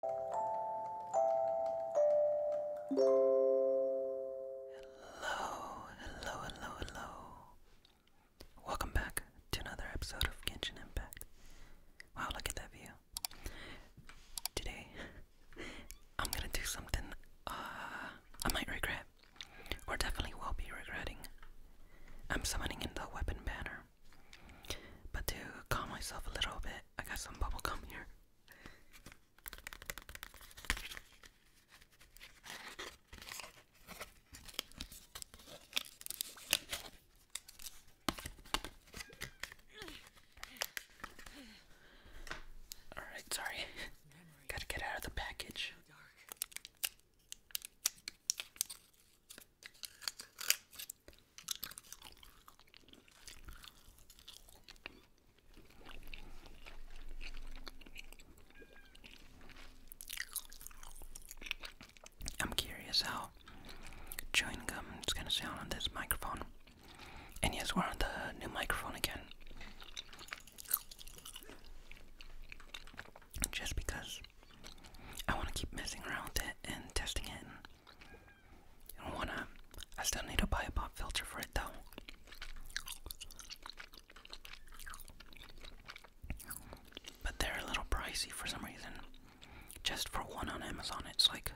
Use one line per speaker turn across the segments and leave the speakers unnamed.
Hello, hello, hello, hello. Welcome back to another episode of Genshin Impact. Wow, look at that view. Today, I'm gonna do something uh, I might regret, or definitely will be regretting. I'm summoning in the weapon banner. But to calm myself a little bit, I got some bubble gum here. All right, sorry. got to get out of the package. I'm curious how chewing gum is gonna sound on this microphone. And yes, we're on the new microphone again. Just because I want to keep messing around it and testing it I wanna. I still need to buy a pop filter for it though. But they're a little pricey for some reason. Just for one on Amazon, it's like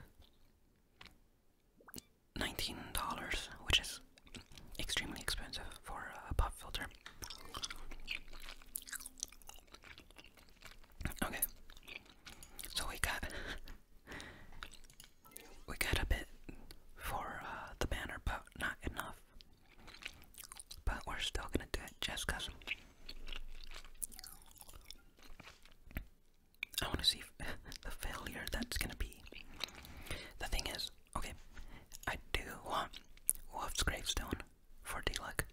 $19, which is extremely expensive for a pop filter. Okay. So we got we got a bit for uh, the banner, but not enough. But we're still gonna do it just because I want to see the failure that's gonna be. The thing is, okay, I do want Wolf's Gravestone for Deluck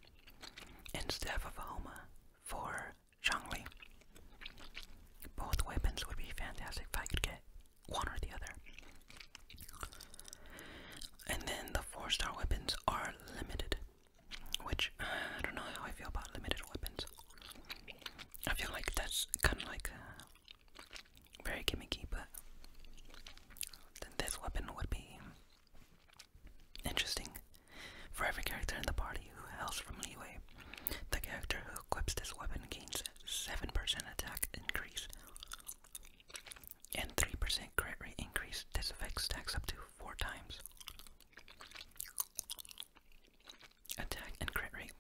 instead of Homa for Zhongli. Both weapons would be fantastic if I could get one or the other. And then the four star weapons are limited, which uh, I don't know how I feel about limited weapons. I feel like that's kind of like uh, very gimmicky, but then this weapon would be interesting for every character in the party who hails from Leeway, the character who equips this weapon gains 7% attack increase and 3% crit rate increase. This effect stacks up to 4 times. Attack and crit rate.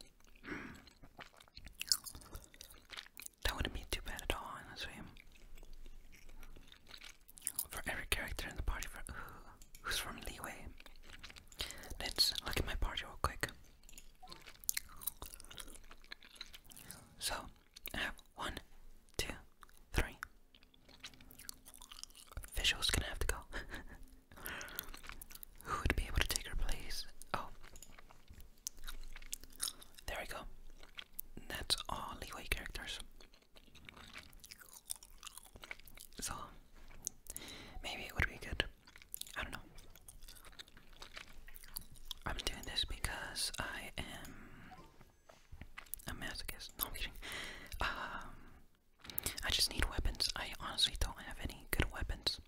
That wouldn't be too bad at all, honestly for every character in the party for who's from Leeway. Let's look at my party real quick. So, I have one, two, three. Visual's gonna have to go. Who would be able to take her place? Oh. There we go. That's all Leeway characters. So maybe it would be good. I don't know. I'm doing this because I am a masochist. No, I'm kidding. Um, I just need weapons. I honestly don't have any good weapons.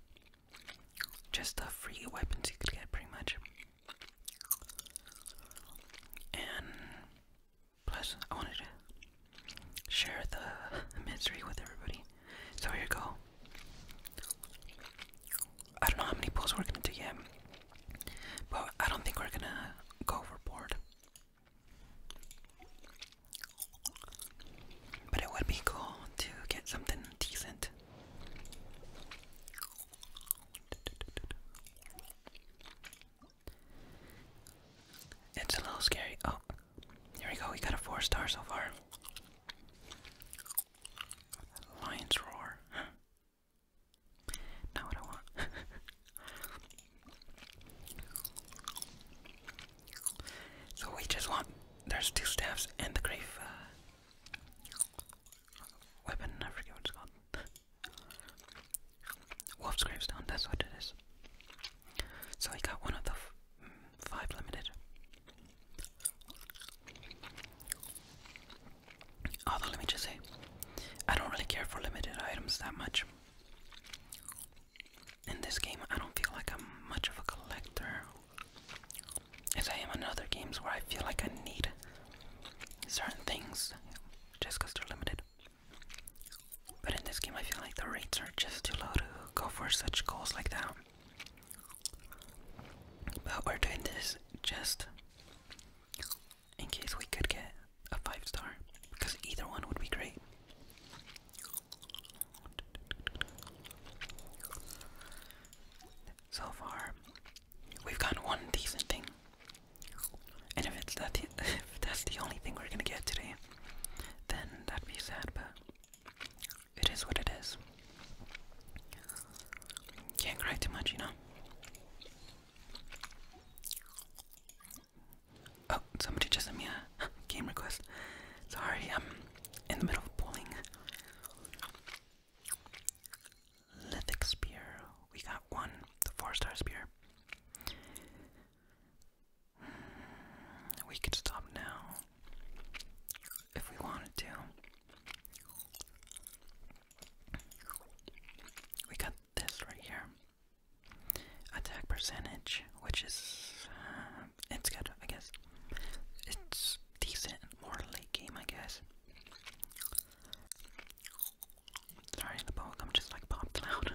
Just the free weapons you could get, pretty much. And Plus, I wanted to share the mystery with everybody. So here you go. I don't know how many pulls we're gonna do yet, but I don't think we're gonna go overboard. But it would be cool to get something decent. It's a little scary. Oh, here we go. We got a four star so far. Lion's roar. Not what I want. so we just want. There's two staffs and the grave uh, weapon. I forget what it's called. Wolf's Gravestone, that's what it is. So I got one of the five limited. Although, let me just say, I don't really care for limited items that much. In this game, I don't feel like I'm much of a collector. As I am in other games where I feel like I need certain things just because they're limited. But in this game, I feel like the rates are just too low to go for such goals like that. But we're doing this just in case we could get a 5 star, because either one would be great. So far, we've got one decent thing. And if, it's that if that's the only thing we're gonna get today, then that'd be sad, but it is what it is. Can't cry too much, you know? Oh, somebody just sent me a game request. Sorry, I'm in the middle of pulling. Lithic Spear. We got one, the four star spear. We could stop now if we wanted to. We got this right here. Attack percentage, which is uh, it's good, I guess. It's decent, more late game, I guess. Sorry, the bug. I'm just like popped out.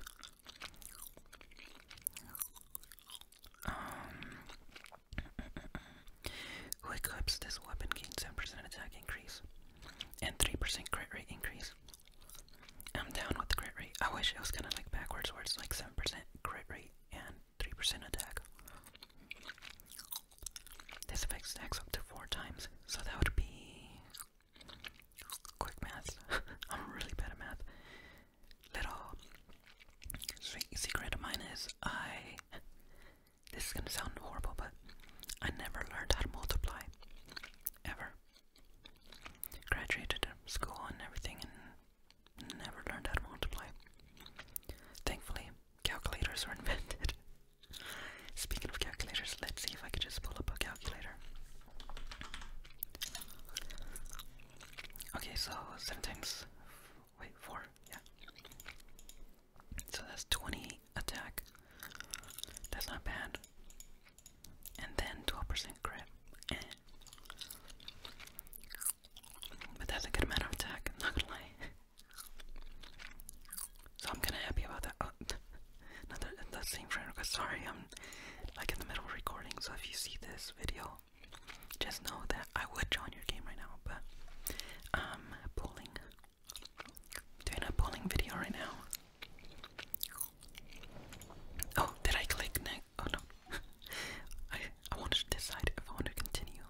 Um, who equips this weapon gains 7 percent attack increase and 3% crit rate increase. I'm down with the crit rate. I wish it was kind of like backwards where it's like 7% crit rate and 3% attack. This effect stacks up to 4 times, so that would be Quick math. I'm really bad at math. Little secret of mine is I. This is gonna sound horrible, but I never learned how to multiply. Ever. Graduated school and everything and never learned how to multiply. Thankfully, calculators were invented. Speaking of calculators, let's see if I could just pull up a calculator. Okay, so 7 times. Wait, 4. Yeah. So that's 20 attack. That's not bad. And then 12% crit. Eh. But that's a good amount of attack, I'm not gonna lie. so I'm kinda happy about that. Oh, not that, that same friend Sorry, I'm like in the middle of recording, so if you see this video, just know that I would join your game right now, but i pulling, doing a pulling video right now. Oh, did I click next? Oh no, I I wanted to decide if I want to continue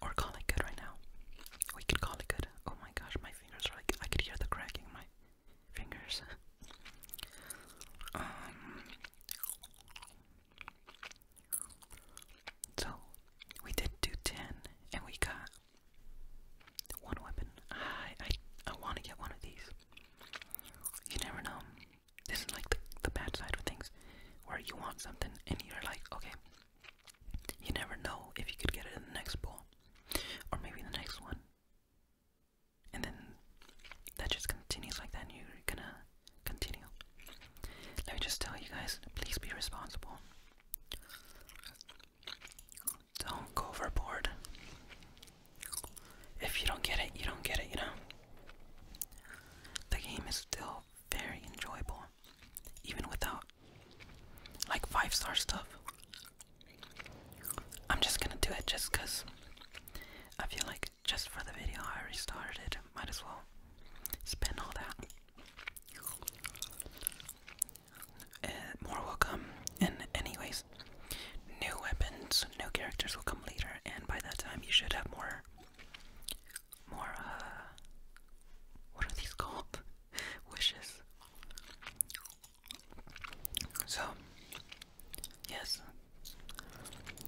or call it good right now. We could call it good. Oh my gosh, my fingers are like I could hear the cracking. My fingers. Um, so we did do ten, and we got one weapon. I I I want to get one of these. You never know. This is like the, the bad side of things, where you want something and you're like, okay. You never know if you could get it in the next bowl, or maybe the next one and then that just continues like that and you're gonna continue let me just tell you guys please be responsible don't go overboard if you don't get it you don't get it you know the game is still very enjoyable even without like five star stuff I'm just gonna do it just because I feel like just for the video I restarted. started. Might as well spend all that. Uh, more will come, and anyways, new weapons, new characters will come later, and by that time you should have more, more, uh, what are these called? Wishes. So, yes,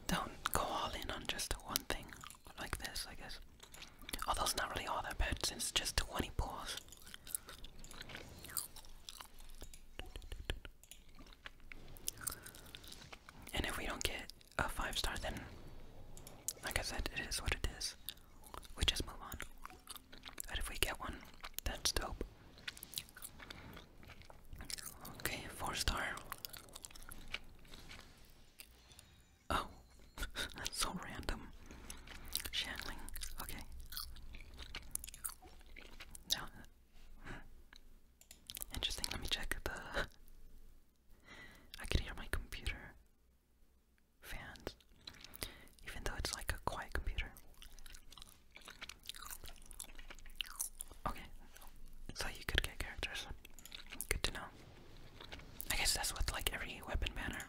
don't go all in on just one thing like this, I guess. Although it's not really all that bad since it's just 20 pulls. And if we don't get a 5 star, then, like I said, it is what it is. We just move on. But if we get one, that's dope. Okay, four star. Oh, that's so random. Shangling. Okay. Now, hmm. interesting. Let me check the. I can hear my computer fans, even though it's like a quiet computer. Okay, so you could get characters. Good to know. I guess that's what like every weapon banner.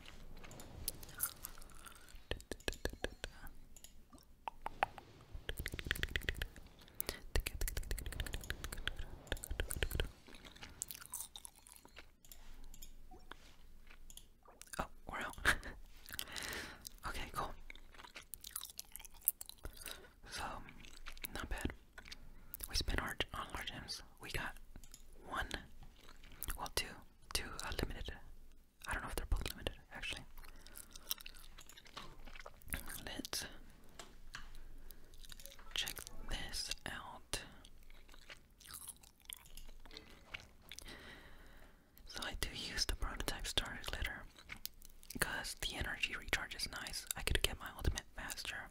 Oh, we're out. okay, cool. So, not bad. We spent our on large gems. We got one, well, two, two uh, limited. I don't know if they're both limited, actually. Let's check this out. So I do use the prototype starter glitter because the energy recharge is nice. I could get my ultimate faster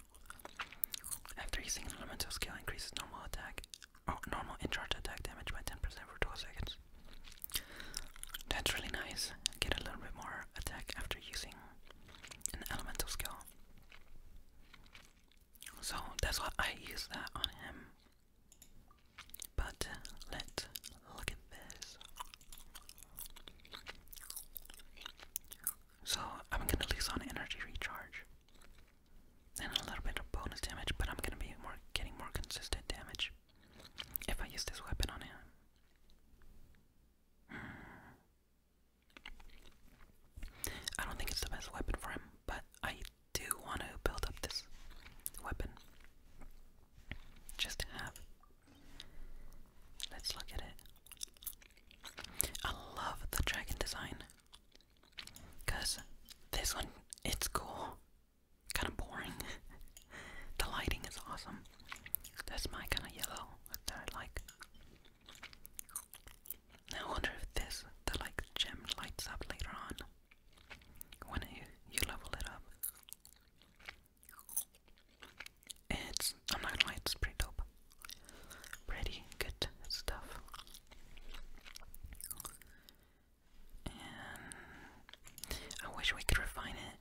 after using an elemental skill increases normal attack or oh, normal in attack damage by 10% for 12 seconds. That's really nice. Get a little bit more attack after using an elemental skill. So that's why I use that on him. But uh, let's look at this. So I'm gonna lose on energy recharge and a little bit of bonus damage, but I'm gonna be more getting more consistent damage if I use this weapon on him. Hmm. I don't think it's the best weapon for him, but I do want to build up this weapon. Just have. Let's look at it. I love the dragon design. Because this one, it's cool. Kind of boring. the lighting is awesome. That's my kind of yellow that I like. Now wonder this, the like gem lights up later on when you, level it up. It's, I'm not gonna lie, it's pretty dope. Pretty good stuff. And I wish we could refine it,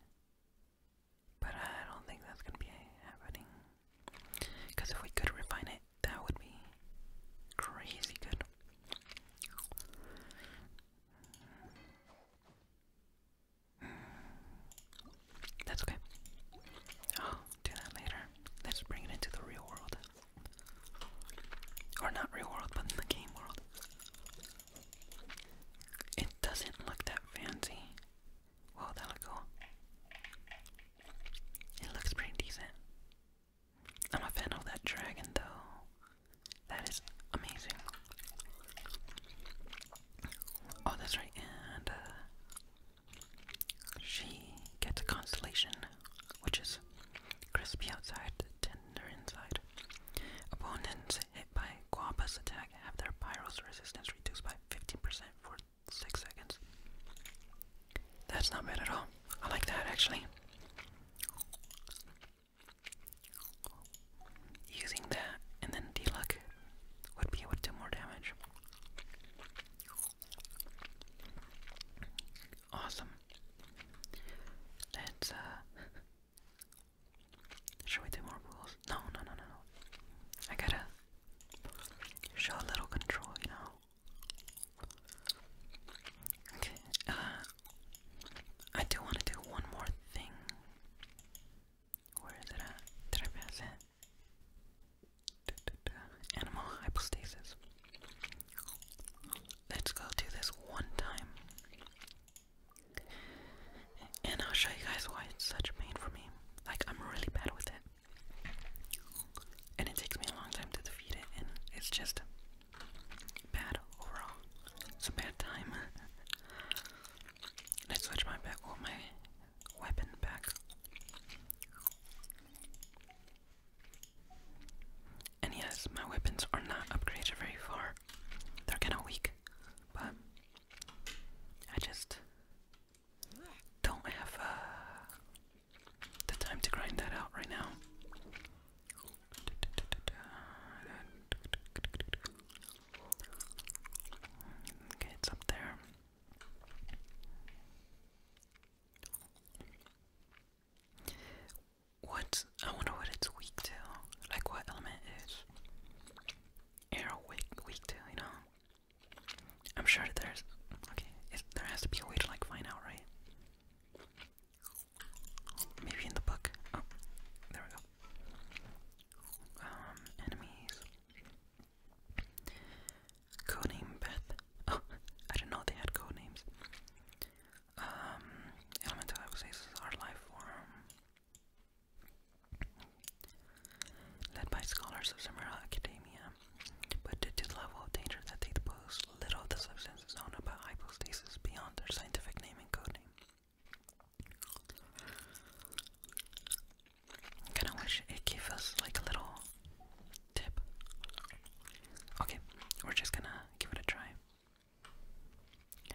but I don't think that's gonna be happening. Because if we could refine it, that would be crazy good. That's okay. i do that later. Let's bring it into the real world. Or not real world, but in the game world. It doesn't look that fancy. Well, that'll go. It looks pretty decent. I'm a fan of that dragon though. That is amazing. Oh, that's right, and uh, she gets a constellation, which is crispy outside, tender inside. Opponents hit by Guapa's attack have their pyro's resistance reduced by 15% for 6 seconds. That's not bad at all. I like that actually. Using that and then D luck would be able to do more damage. Awesome. Let's uh should we more rules? No no no no I gotta show a little control, you Okay, uh, I do want to do one more thing. Where is it at? Did Animal hypostasis. Let's go do this one time. And I'll show you guys why it's such pain for me. Like, I'm really bad with it. And it takes me a long time to defeat it, and it's just Bad overall. It's a bad time. let switch my back or my weapon back. And yes, my weapons are not upgraded very far. They're kinda weak, but I just don't have uh, the time to grind that out right now. Okay, it's up there. What? I wonder what it's weak to. Like what element is air weak weak to? You know. I'm sure that there's. Okay, there has to be a way to like find out, right? Maybe in the book. Oh, there we go. Um, enemies. Codename Beth. Oh, I didn't know they had codenames. Um, elemental Epices is life form. Led by scholars of Samira Academia, but due to the level of danger that they pose, little of the substance is known about hypostasis beyond their scientific name and codename. Kinda wish it gave us like a little tip. Okay, we're just gonna give it a try.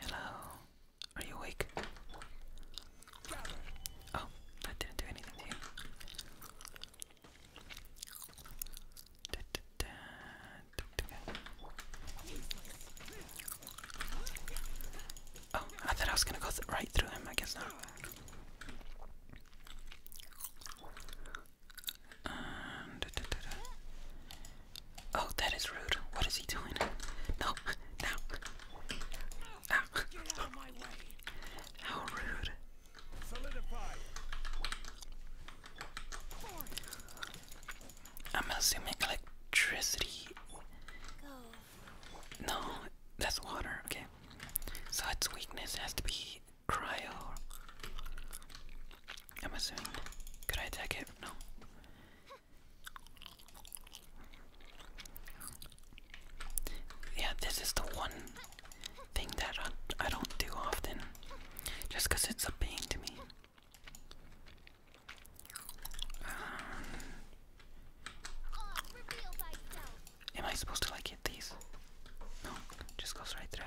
Hello, are you awake? Oh, that didn't do anything to you. Da, da, da, Oh, I thought I was gonna go right through him. I guess not. Um, oh, that is rude. What is he doing? No, no. Ow. Ah. How rude. I'm assuming electricity. No, that's water. Okay. So its weakness has to be cryo. I'm assuming. Could I attack it? No. Yeah, this is the one thing that I, I don't do often. Just because it's a pain to me. Um, am I supposed to like hit these? just goes right through.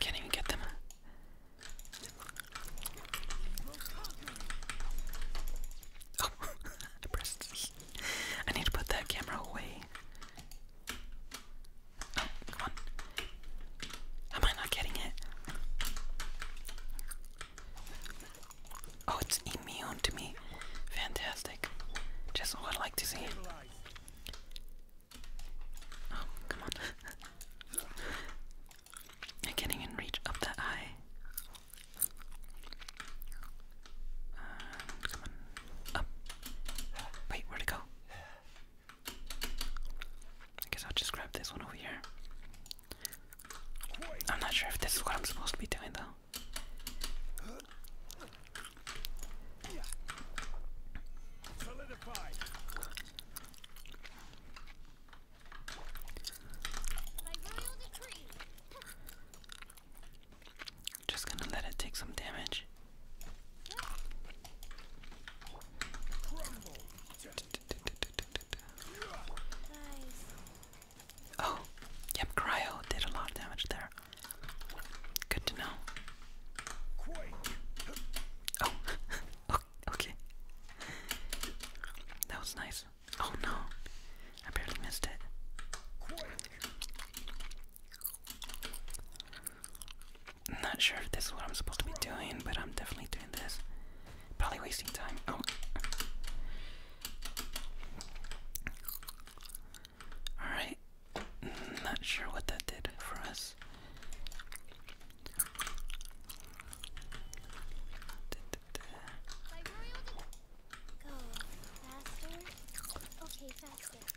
Can't even get them. Oh, I pressed I need to put that camera away. Oh, come on. Am I not getting it? Oh, it's immune to me. Fantastic. Just what I like to see. Oh, come on. I can't even reach up the eye. Um, Wait, where'd it go? I guess I'll just grab this one over here. I'm not sure if this is what I'm supposed to be doing though. Just gonna let it take some damage. Oh, yep, Cryo did a lot of damage there. Good to know. Oh, okay. That was nice. Oh no. I barely missed it. am not sure if this is what I'm supposed to be doing, but I'm definitely doing this. Probably wasting time. Oh. Alright. Not sure what that did for us.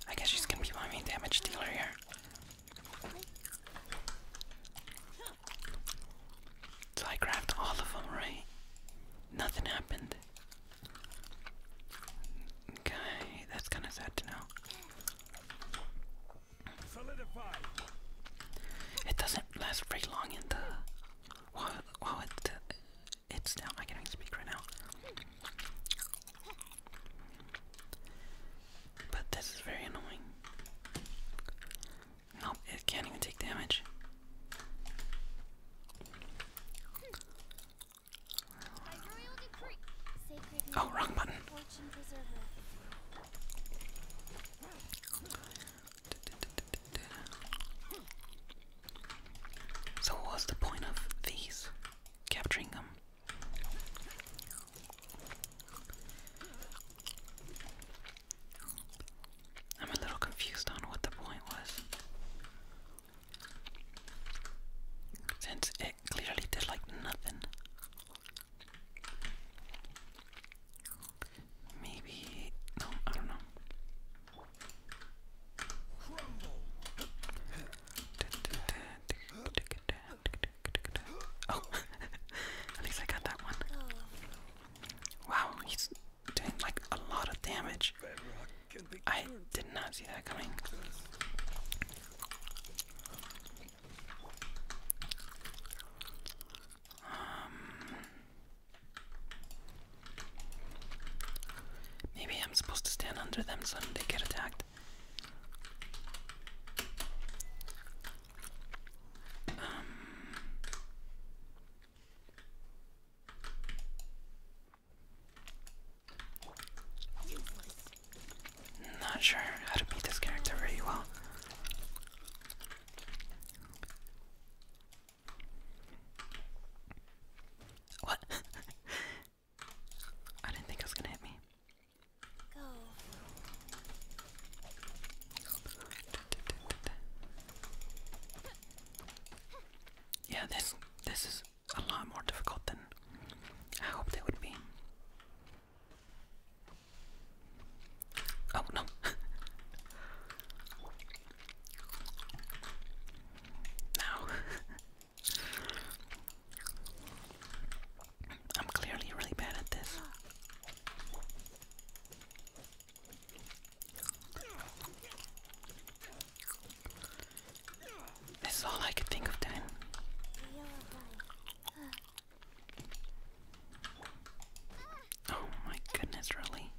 I guess she's gonna be my main damage dealer here. So I grabbed all of them, right? Nothing happened. Okay, that's kind of sad to know. It doesn't last very long in the while, it's now. I can't even speak right now. But this is very annoying. Nope, it can't even take damage. Oh, wrong button. So, what was the point of these? Capturing them? I'm a little confused on what the point was. Since it clearly did like nothing. Maybe. No, I don't know. Oh, at least I got that one. Wow, he's doing like a lot of damage. I did not see that coming. Um, Maybe I'm supposed to stand under them so they get attacked. Um, not sure how to beat this character very well. What? I didn't think it was gonna hit me. Yeah, this this is a lot more difficult than I hoped it would be. Oh no. now I'm clearly really bad at this. This is all I could think of then. Oh my goodness, really?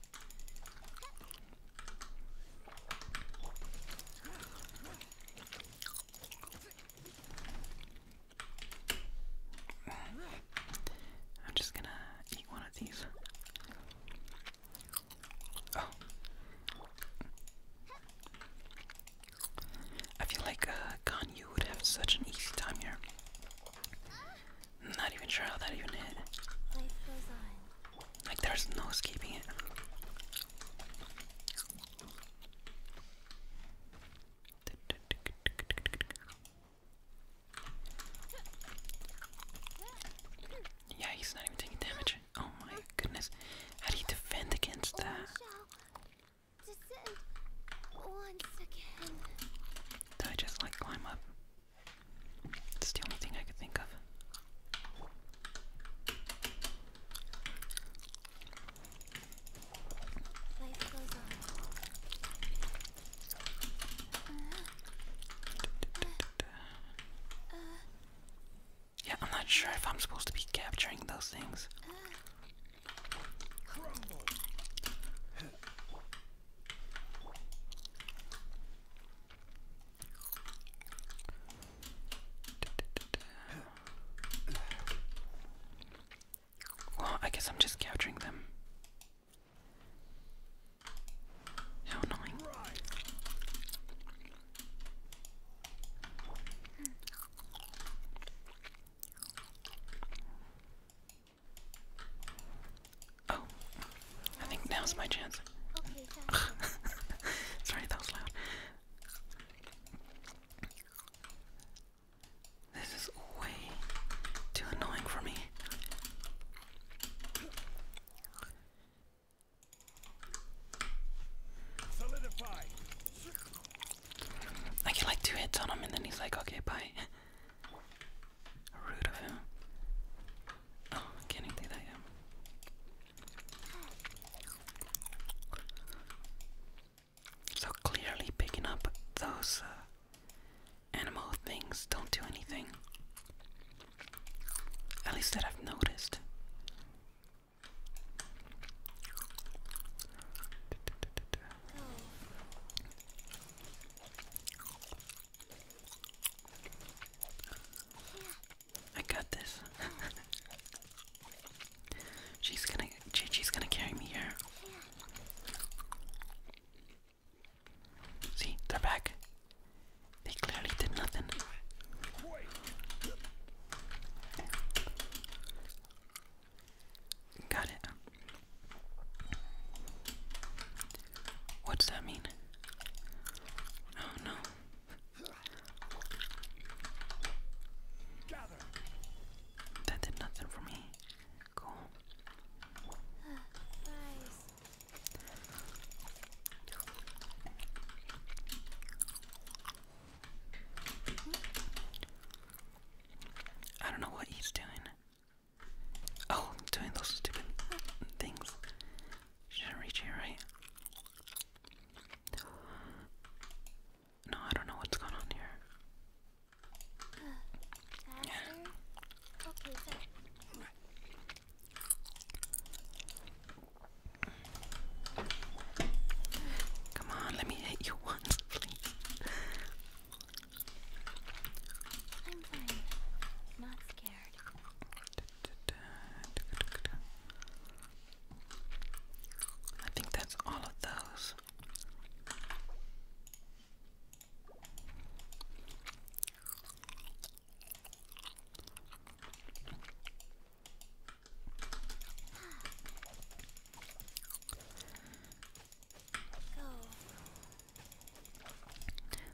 I'm just gonna eat one of these. Oh. I feel like uh, Ganyu would have such an easy time here. not even sure how that even hit. Like there's no escaping it. Yeah, he's not even taking damage. Oh my goodness. How do you defend against that? Oh, Did I just like climb up? It's the only thing I could think of. yeah, I'm not sure if I'm supposed to be capturing those things. I guess I'm just capturing them. How annoying. Oh. I think now's my chance. Sorry, that was loud. This is way too annoying for me. I get like two hits on him and then he's like, okay, bye. Rude of him. Oh, can't do that yet. So clearly, picking up those uh, animal things don't do anything. At least that I've noticed. I got this. she's gonna, she's gonna carry me here. See, they're back. They clearly did nothing. Got it. What's that mean? Oh no. That did nothing for me. Cool. I don't know what he's doing. Oh, doing those stupid things. Shouldn't reach here, right? No, I don't know what's going on here. yeah. okay, Come on, let me hit you once, please. I'm fine. Not scared. I think that's all of those.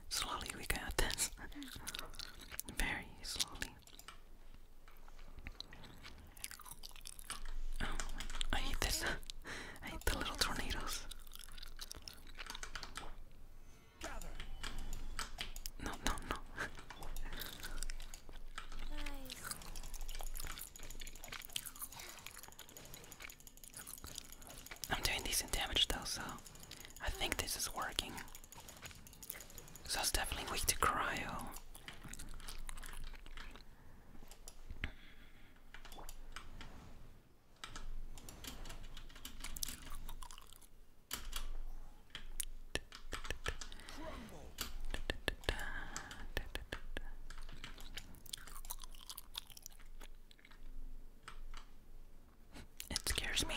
Slowly we got this. Hmm. Very slowly. Oh, I hate this. I hate the little tornadoes. No, no, no. I'm doing decent damage though, so I think this is working. Cause that's definitely weak to cryo. It scares me.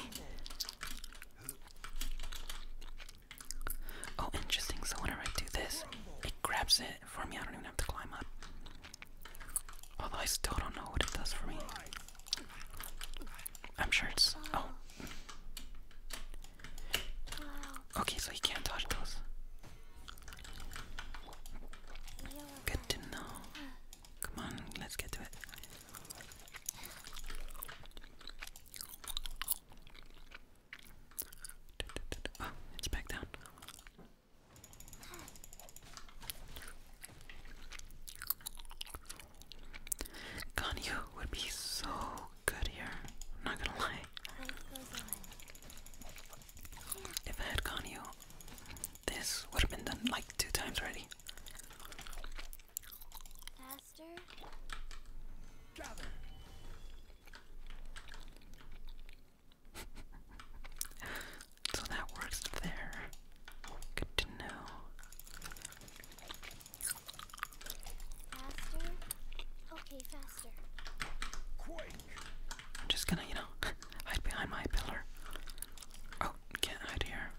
Oh, interesting. So whenever I do this, it grabs it for me. I don't even have to climb up. Although I still don't know what it does for me. I'm sure it's. Oh. Okay, so you can't dodge those. Good to know. Come on, let's get to it. Oh, it's back down. Ganyu would be so good here. I'm not gonna lie. If I had Ganyu, this would have been done like two times already. Master? so that works there. Good to know. I'm just gonna, you know, hide behind my pillar. Oh, can't hide here.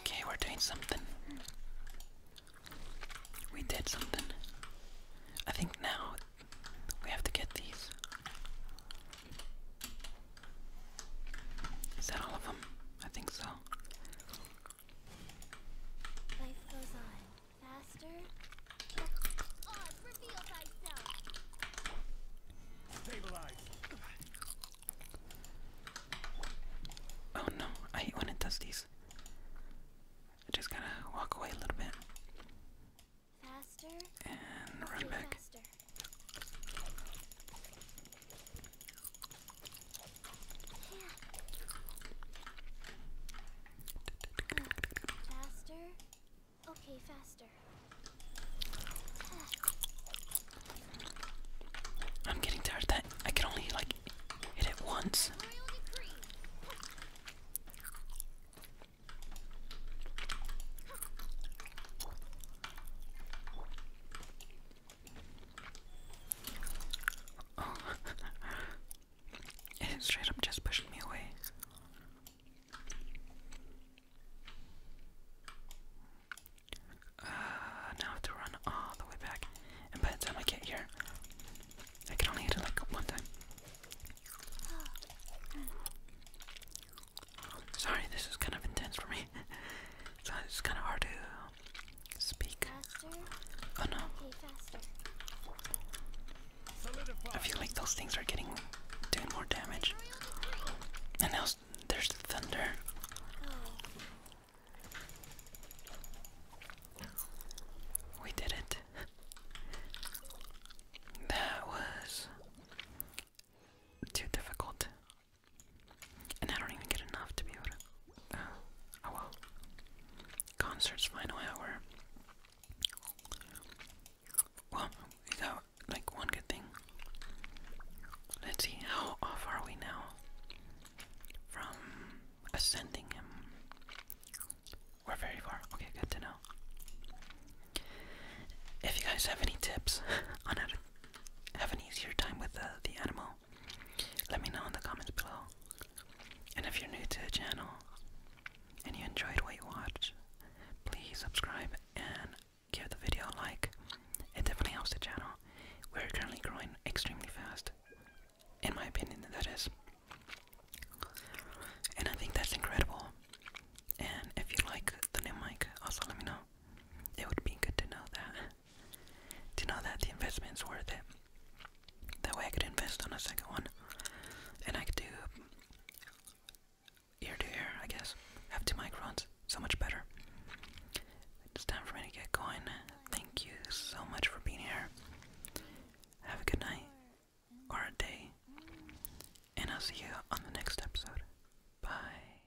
Okay, we're doing something. We did something. I think now we have to get these. Is that all of them? I think so. Life goes on. Faster. Oz, reveal thyself. Stabilize. Oh no, I hate when it does I just gotta walk away a little bit. And run back. Yeah. Uh, faster? Okay, faster. I'm getting tired that I can only like hit it once. Oh. it straight up just pushed me away. Uh, now I have to run all the way back. And by the time I get here, I can only hit it like one time. Sorry, this is kind of intense for me. so it's kind of hard to speak. Oh no. I feel like those things are getting doing more damage. And now there's thunder. We did it. That was too difficult. And I don't even get enough to be able to. oh, oh well. Concerts, final hour. Well, we got like one good thing. Let's see, how off are we now from ascending him? We're very far. Okay, good to know. If you guys have any tips on how to have an easier time with the animal, let me know in the comments below. And if you're new to the channel and you enjoyed what you watched, please subscribe and give the video a like. It definitely helps the channel. We're currently growing extremely fast. In my opinion, that is. And I think that's incredible. And if you like the new mic, also let me know. It would be good to know that. Do know that the investment's worth it? That way I could invest on a second one. And I could do ear to ear, I guess. Have two microns. So much better. It's time for me to get going. Thank you so much for being here. Have a good night or a day. And I'll see you on the next episode. Bye.